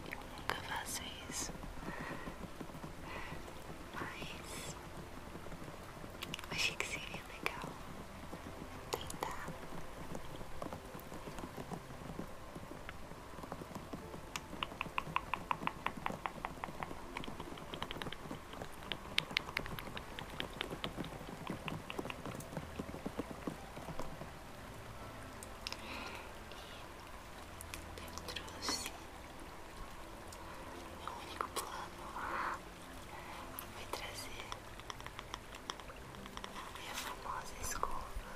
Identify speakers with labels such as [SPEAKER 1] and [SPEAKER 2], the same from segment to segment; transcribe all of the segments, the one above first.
[SPEAKER 1] Eu nunca faço isso, mas achei que seria legal tentar eu trouxe meu único plano foi trazer minha famosa escova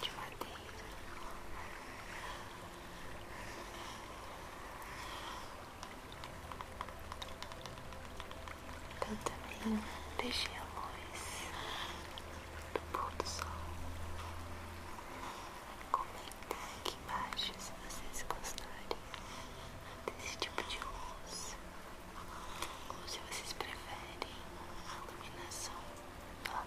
[SPEAKER 1] de madeira então tá também deixei a luz do pôr do sol. Comentem aqui embaixo se vocês gostarem desse tipo de luz. Ou se vocês preferem a iluminação normal.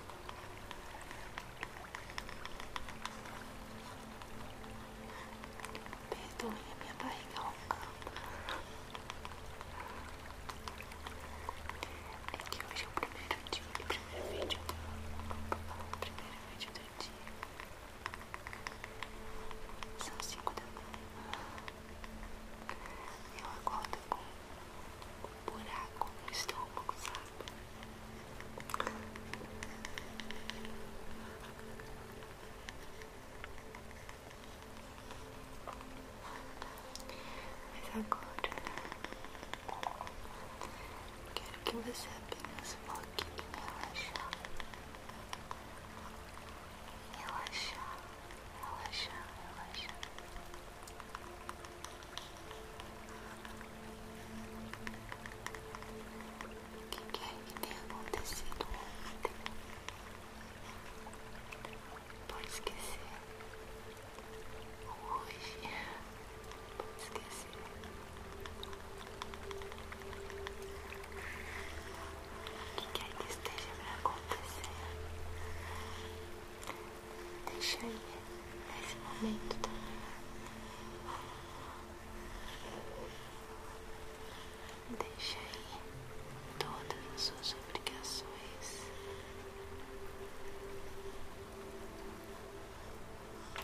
[SPEAKER 1] Perdoe a minha barriga roncando. É que hoje é o primeiro dia, o primeiro vídeo primeiro vídeo do dia. São cinco da manhã. Eu acordo com um buraco estou estômago, sabe? Mas agora quero que você apenas foque em relaxar. Relaxar, relaxar, relaxar. O que quer que tenha acontecido ontem? Pode esquecer. Hoje. Pode esquecer. O que quer que esteja pra acontecer? Deixa aí esse momento também. Tá? Deixa aí todas as suas obrigações.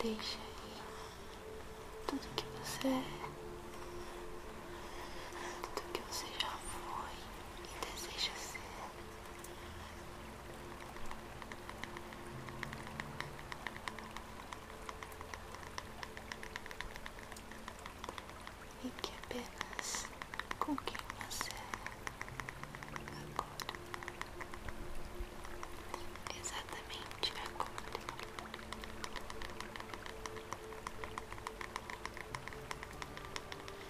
[SPEAKER 1] Deixa aí tudo que você é. Tudo que você já foi e deseja ser e que apenas com quem você agora, exatamente agora.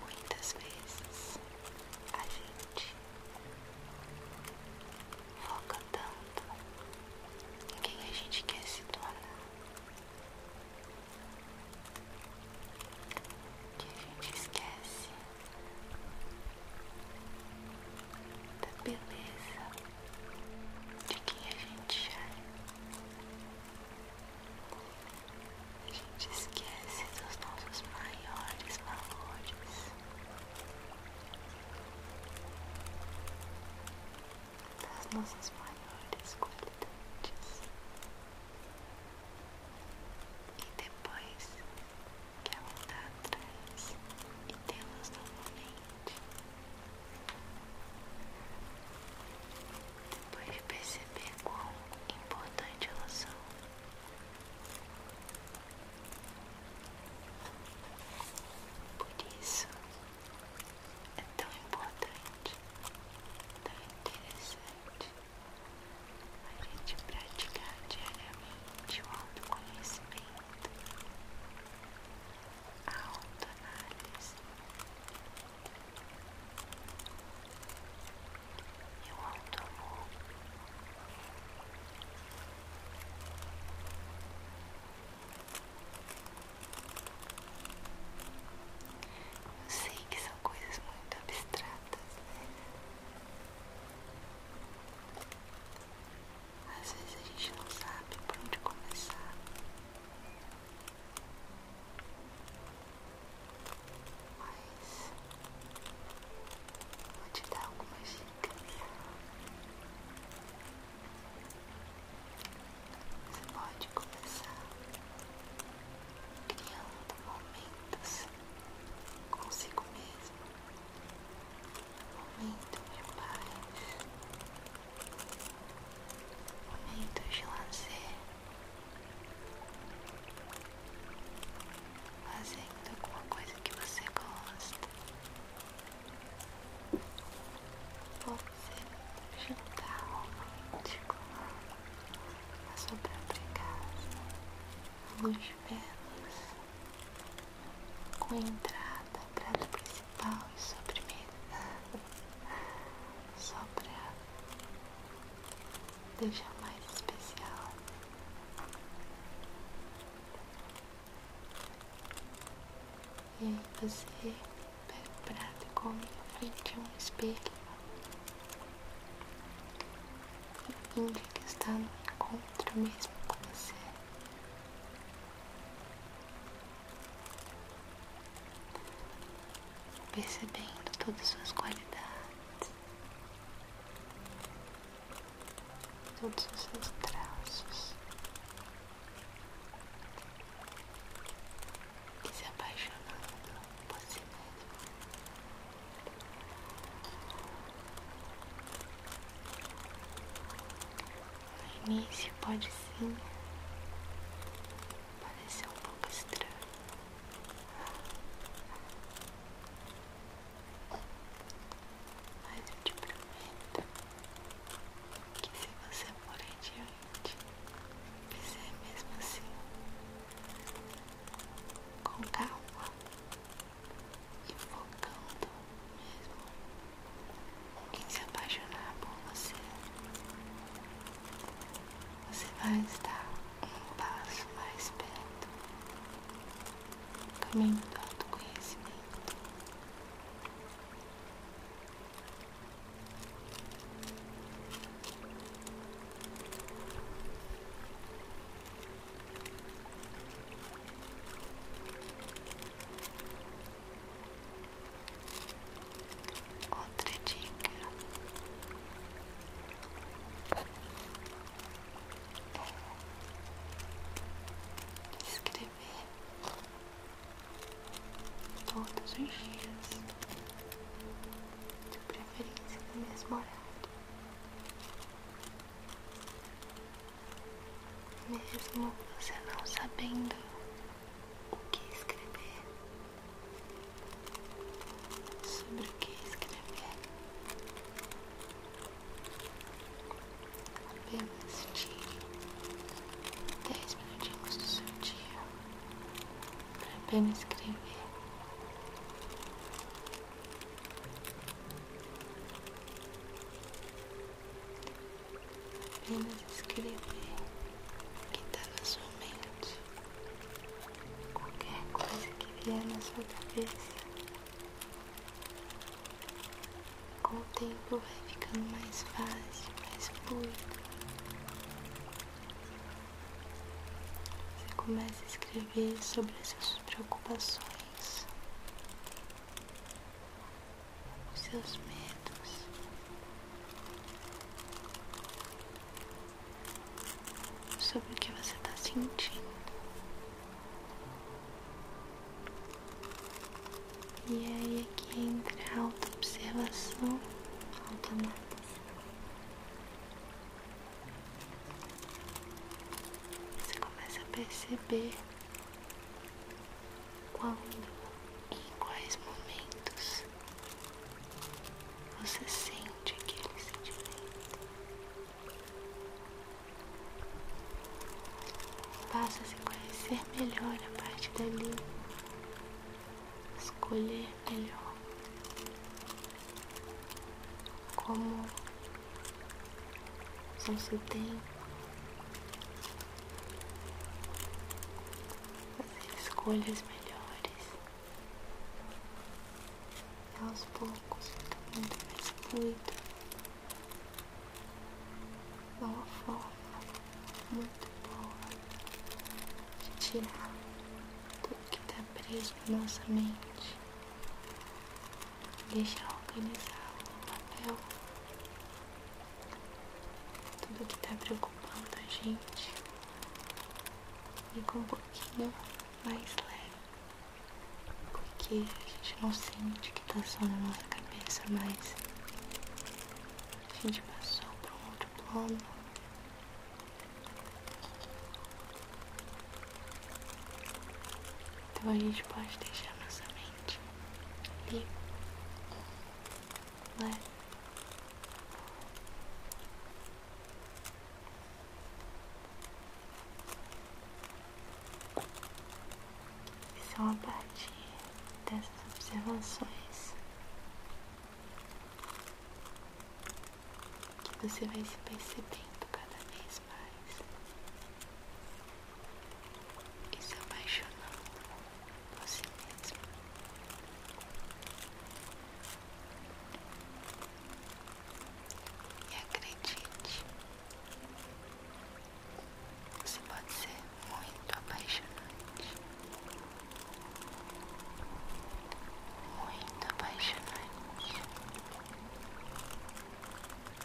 [SPEAKER 1] Muitas vezes a gente foca tanto em quem a gente quer se tornar que a gente esquece da beleza de quem a gente é. A gente esquece dos nossos maiores valores. Das nossas maiores qualidades. E depois que voltar tá atrás e tê-las novamente. Depois de perceber quão importante elas são, por isso é tão importante, tão interessante a gente praticar diariamente o autoconhecimento a autoanálise e o automor. Eu sei que são coisas muito abstratas, né? Às vezes a gente não sabe por onde começar. Mas vou te dar algumas dicas. Você pode começar criando momentos consigo mesmo momento de paz, momento de lazer, fazendo alguma coisa que você gosta. Pode ser jantar romântico na sua própria casa, longe de com entrada, prato principal e sobremesa, só para deixar mais especial. E aí você pega o prato e come frente a um espelho. Indica que está no encontro mesmo com você percebendo todas suas qualidades, todos os seus traços, e se apaixonando por si mesmo. No início pode sim parecer um pouco estranho. Mas eu te prometo que se você for adiante, fizer mesmo assim, com calma, e focando mesmo em se apaixonar por você, você vai estar um passo mais perto do caminho do autoconhecimento. Outra dica é escrever todos os dias, de preferência no mesmo horário. Mesmo você não sabendo o que escrever, sobre o que escrever, apenas tire dez minutinhos do seu dia para apenas escrever. Apenas escrever o que está na sua mente. Qualquer coisa que vier na sua cabeça. Com o tempo vai ficando mais fácil, mais fluido. Você começa a escrever sobre as suas preocupações, os seus medos. Sobre o que você está sentindo. E aí aqui é entra a auto-observação automática. Você começa a perceber quando e em quais momentos você sente aquele sentimento? Passa a se conhecer melhor a partir dali, escolher melhor como não se tem. Fazer escolhas melhores. E aos poucos fica muito mais fluido. Dá é uma forma muito boa de tirar tudo que está preso na nossa mente deixar organizado no papel tudo que está preocupando a gente e com um pouquinho mais leve, porque a gente não sente que está só na nossa cabeça, mas a gente passou para um outro plano. Então a gente pode deixar nossa mente livre, leve. É então, a partir dessas observações, que você vai se percebendo cada vez mais e se apaixonando você si mesmo. E acredite, você pode ser muito apaixonante, muito apaixonante.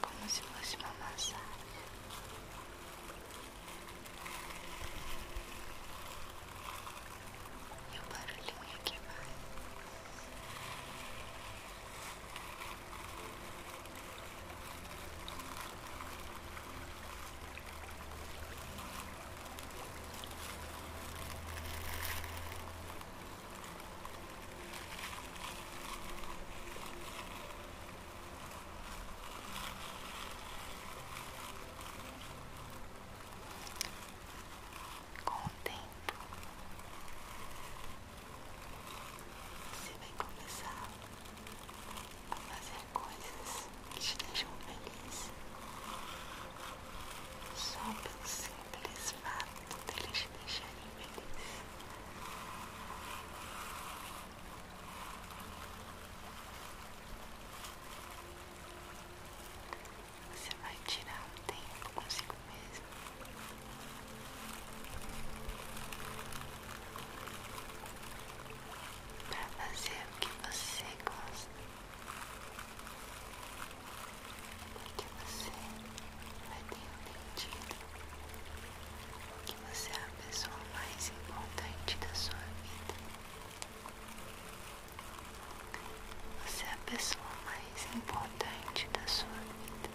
[SPEAKER 1] como se fosse uma massagem. E o barulhinho é que vai. Relaxa. Com o tempo, você vai começar a fazer coisas que te deixam feliz só pelo simples fato deles te deixarem você vai tirar um tempo consigo mesmo. Pra fazer o que você gosta, o que você mas tenho entendido que você é a pessoa mais importante da sua vida. Você é a pessoa mais importante da sua vida.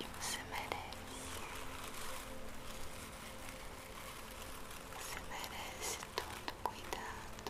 [SPEAKER 1] E você merece. Você merece todo cuidado.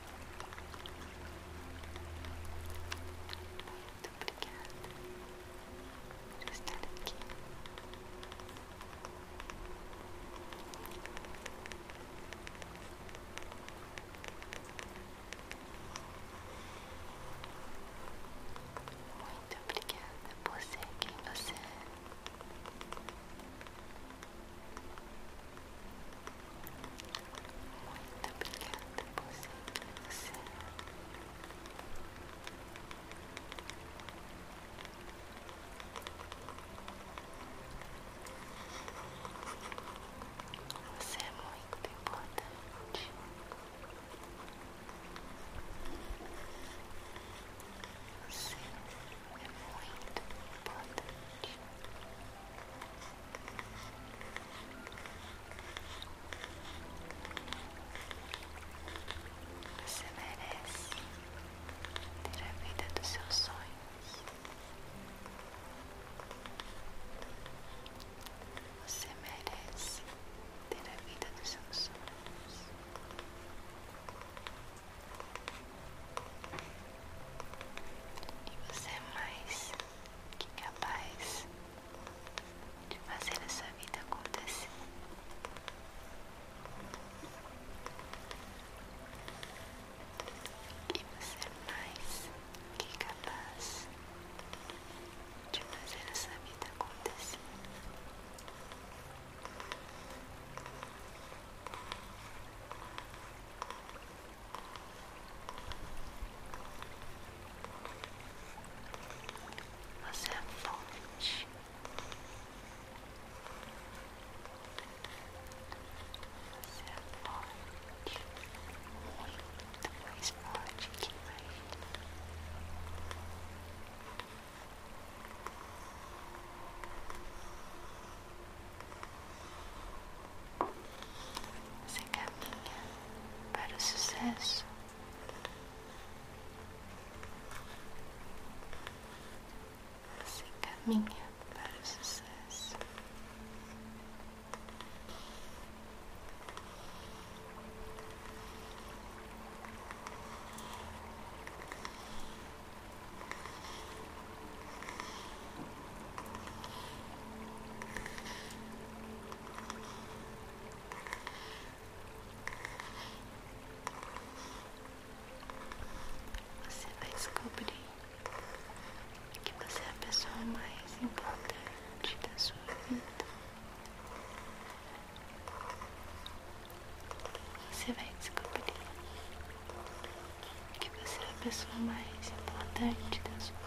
[SPEAKER 1] Muito obrigada por estar aqui. Muito obrigada por ser quem você é. Muito obrigada por você. Você é muito importante. Você é é muito importante. Você merece ter a vida dos seus sonhos. Você merece ter a vida dos seus sonhos. E você é mais que capaz de fazer essa vida acontecer. E você é mais que capaz de fazer essa vida acontecer. Você é forte. Você é forte. Muito mais forte que imagina. Você é forte se caminha para o sucesso. se caminha para o sucesso. Você vai tá descobrir que você é a pessoa mais importante da sua vida. Você vai descobrir que você é a pessoa mais importante da sua vida.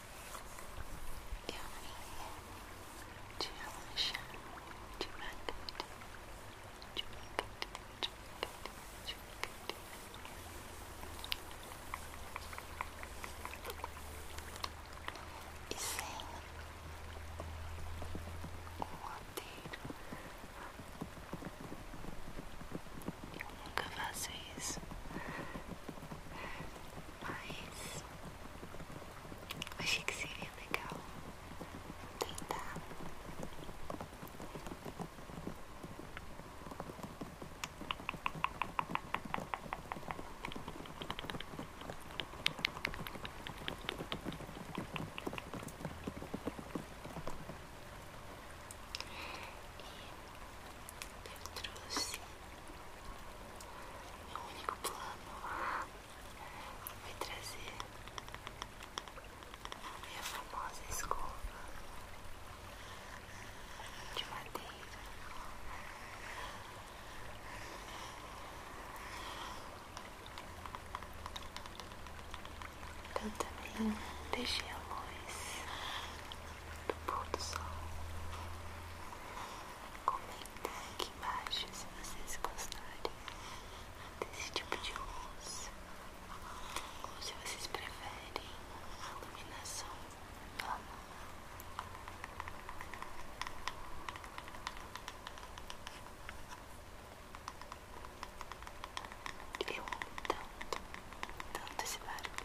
[SPEAKER 1] eu te relaxar devagar, devagar, devagar, devagar. E sem o roteiro, eu nunca faço isso, mas Achei que seria legal tentar. E eu trouxe meu é único plano foi trazer a minha famosa escova de madeira. Eu então também deixei a luz do pôr do sol comigo aqui embaixo se vocês gostarem desse tipo de luz ou se vocês preferem a iluminação Eu amo tanto, tanto esse barulho.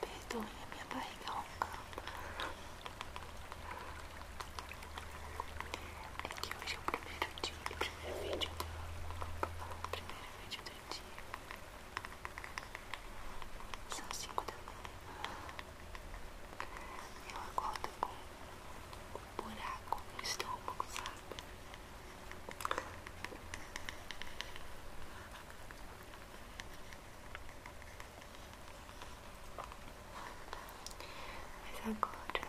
[SPEAKER 1] Perdoe a minha barriga roncando. É que hoje é o primeiro dia, o primeiro vídeo do primeiro vídeo do dia. São cinco da manhã. Eu acordo com um buraco no estômago, sabe? Mas agora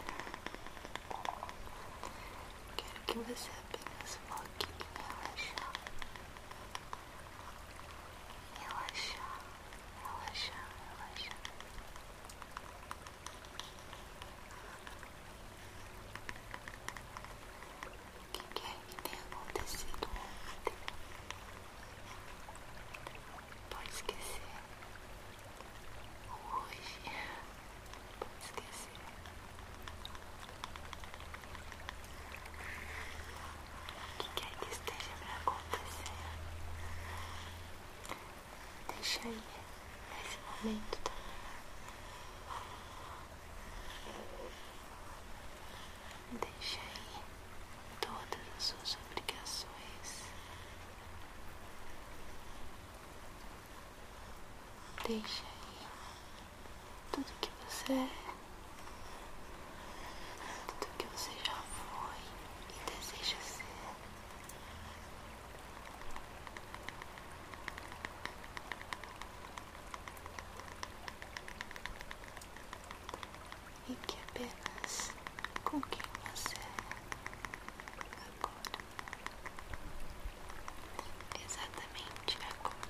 [SPEAKER 1] quero que você apenas foque em relaxar. Relaxar, relaxar, relaxar. O que é que tenha acontecido ontem? Pode esquecer. Hoje. Pode esquecer. O que quer que esteja pra acontecer. Deixa aí nesse momento também. Deixa aí todas as suas obrigações. Deixa aí tudo que você é, tudo que você já foi e deseja ser e que apenas com quem você é agora. Exatamente agora.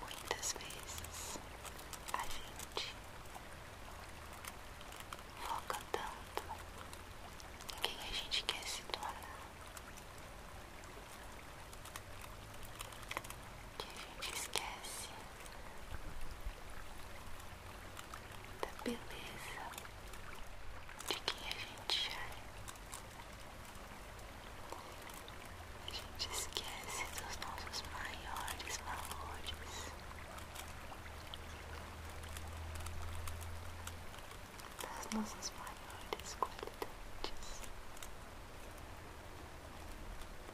[SPEAKER 1] Muitas vezes a gente foca tanto em quem a gente quer se tornar que a gente esquece da beleza de quem a gente já é. A gente esquece dos nossos maiores valores. Das nossas maiores qualidades.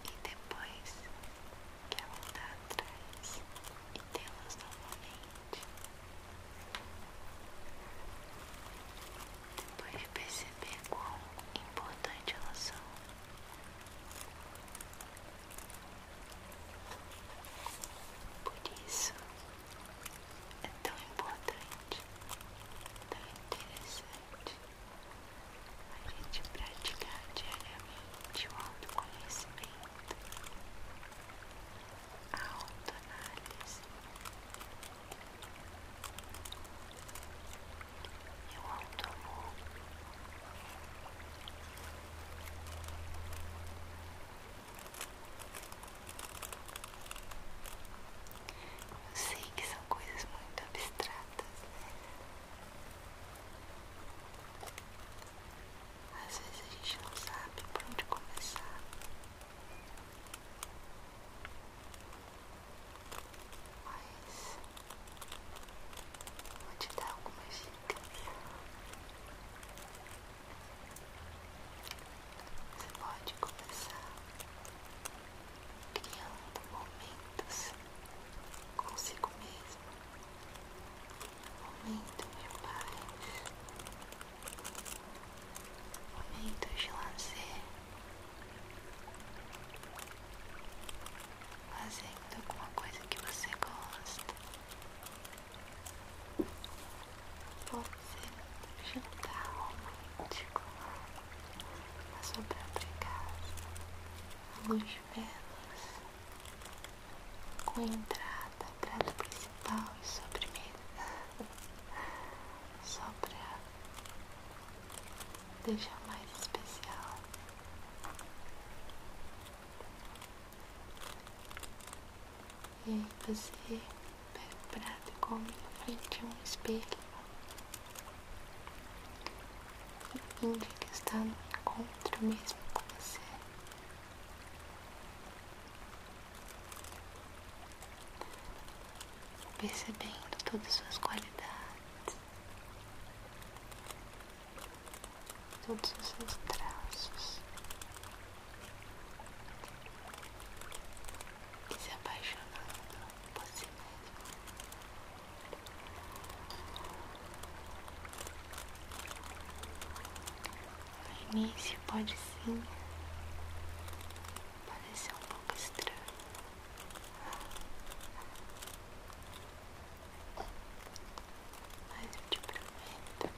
[SPEAKER 1] E depois que ela voltar atrás e tê-las novamente. Depois de perceber quão importante elas são, por isso é tão importante, tão interessante a gente praticar diariamente o autoconhecimento, a autoanálise, e o Eu sei que são coisas muito abstratas, né? Às vezes a gente não sabe por onde começar mas vou te dar algumas dicas. Você pode começar criando momentos consigo mesmo, momentos de pai, momentos de lazer fazendo alguma coisa que você gosta. Pode ser jantar romântico tá sobre sua própria casa, a luz de velas, com entrada, prato principal e sobremesa, só pra deixar mais especial. E você pega o prato e come frente a um espelho. E que está no encontro mesmo com você. Percebendo todas as suas qualidades todos os seus traços e se apaixonando por si mesmo. No início pode sim parecer um pouco estranho. Mas eu te prometo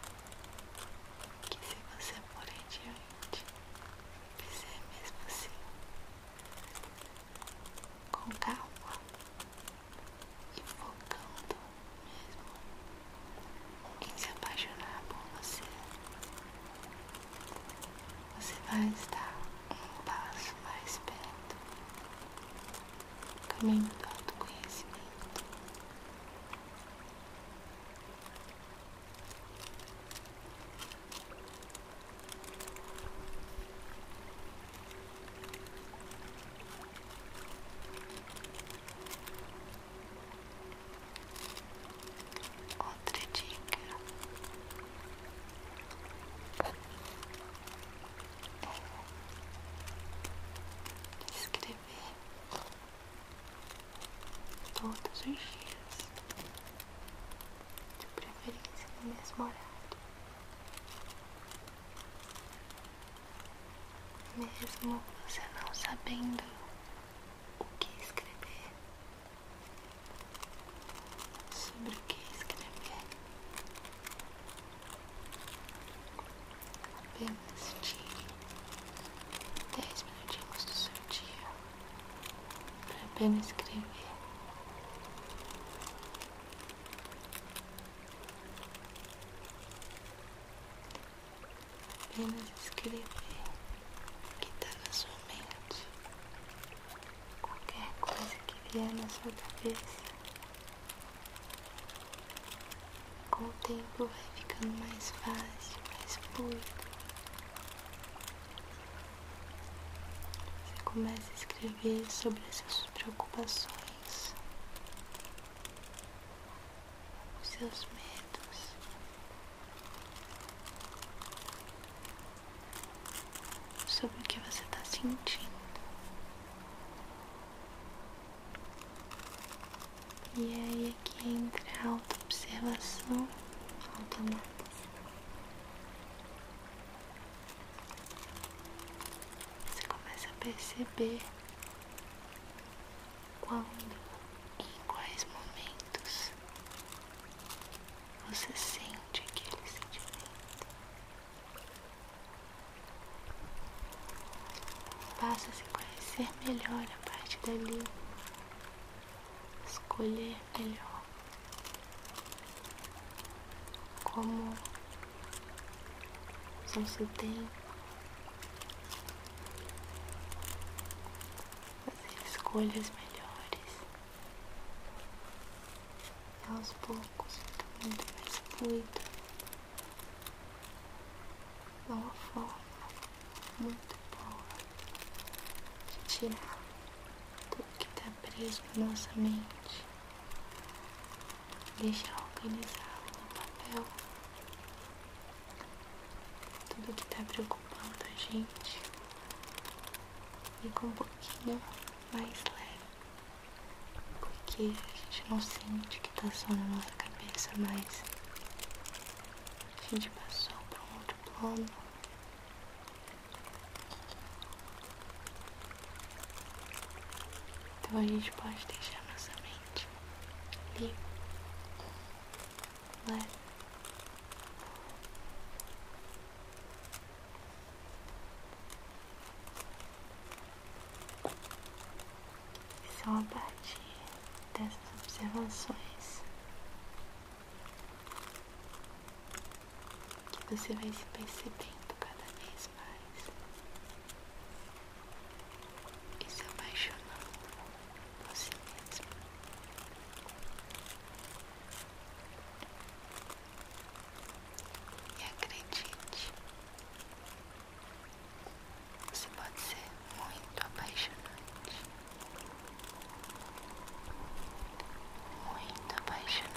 [SPEAKER 1] que se você de adiante, fizer é mesmo assim, com calma e focando mesmo em se apaixonar por você você vai estar um passo mais perto do caminho do autoconhecimento. Outra dica é escrever todos os dias, de preferência no mesmo horário, mesmo você não sabendo o que escrever sobre o que escrever. Apenas tire dez minutinhos do seu dia para apenas escrever. Apenas escrever o que está na sua mente qualquer coisa que vier na sua cabeça, com o tempo vai ficando mais fácil, mais fluido. Você começa a escrever sobre as suas preocupações, os seus medos sobre o que você está sentindo. E aí aqui entra a auto-observação automática. Você começa a perceber quando e em quais momentos você sente aquele sentimento. Passa a se conhecer melhor a partir dali. Escolher melhor como usar seu tempo. escolhas melhores. E aos poucos muito tomando mais fluido. Dá uma forma muito boa de tirar tudo que está preso na nossa mente. Deixar organizado no papel tudo que está preocupando a gente com um pouquinho mais leve, porque a gente não sente que está só na nossa cabeça, mas a gente passou para um outro plano. Então a gente pode deixar nossa mente livre. Claro. Né? Só é a partir dessas observações que você vai se percebendo cada vez mais e se apaixonando por si mesmo. E acredite, você pode ser muito apaixonante, muito apaixonante.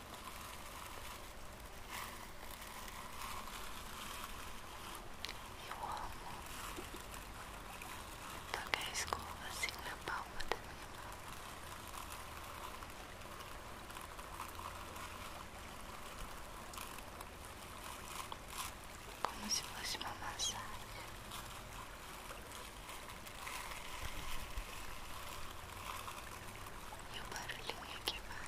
[SPEAKER 1] Eu amo tocar a escova assim na palma da minha mão. Como se fosse uma massagem. E o barulhinho que vai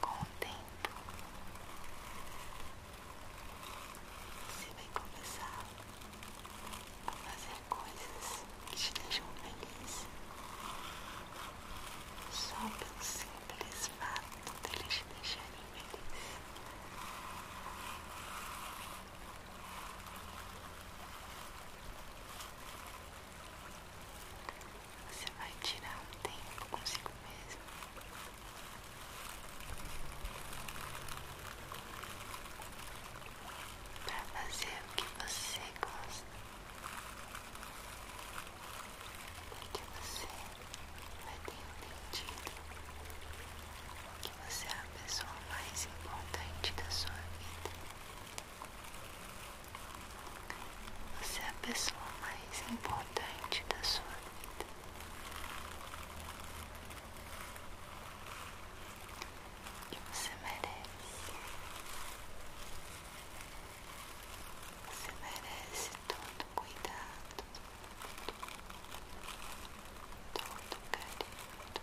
[SPEAKER 1] Com o tempo, você vai começar a fazer coisas que te deixam feliz só pelo simples fato deles de te deixarem feliz. Você vai tirar um tempo consigo mesmo. para fazer o que você gosta. que você vai ter entendido que você é a pessoa mais importante da sua vida. Você é a pessoa mais importante da sua vida. você merece. Você merece todo cuidado, todo carinho, e todo amor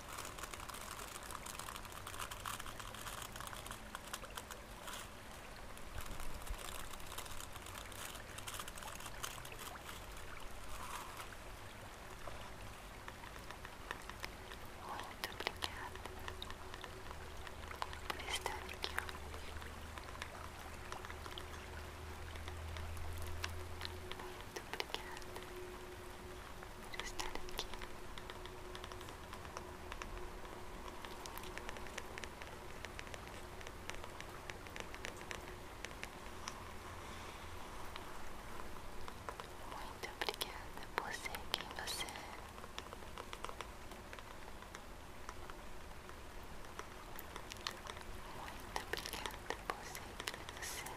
[SPEAKER 1] Muito obrigada por estar Muito obrigada estar aqui. Muito obrigada por ser quem você é. Muito obrigada por ser quem você é.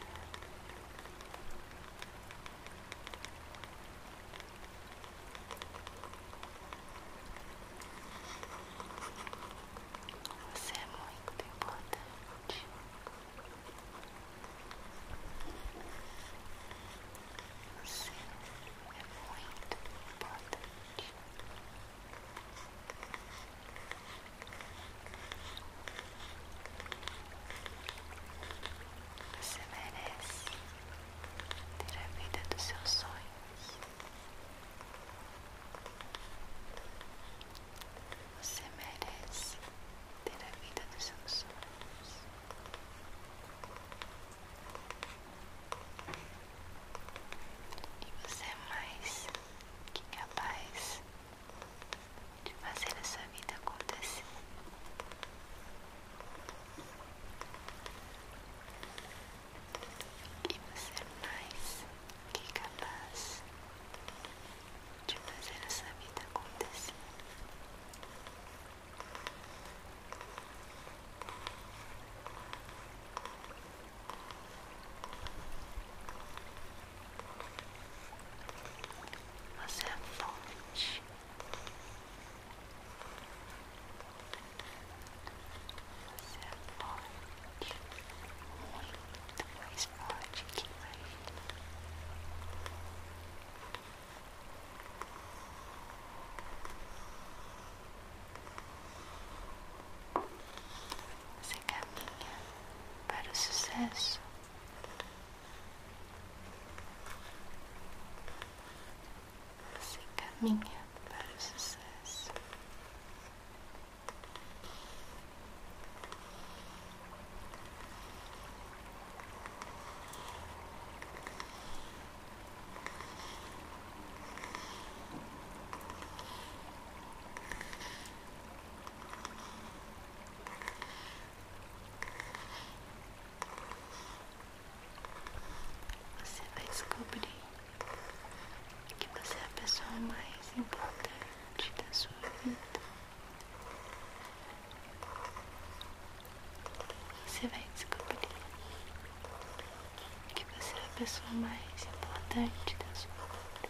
[SPEAKER 1] Você é muito importante. Você é muito importante. Você merece ter a vida dos seus sonhos. Você merece ter a vida dos seus sonhos. E você é mais que capaz de fazer essa vida acontecer. E você é mais que capaz de fazer essa vida acontecer. Você é forte. Você é forte, muito mais forte que imagina. Você caminha para o sucesso se caminha para o sucesso. Você vai descobrir que você é a pessoa mais importante da sua vida. Você vai descobrir que você é a pessoa mais importante da sua vida.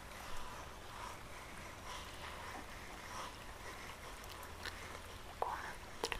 [SPEAKER 1] quatro, três. Quatro,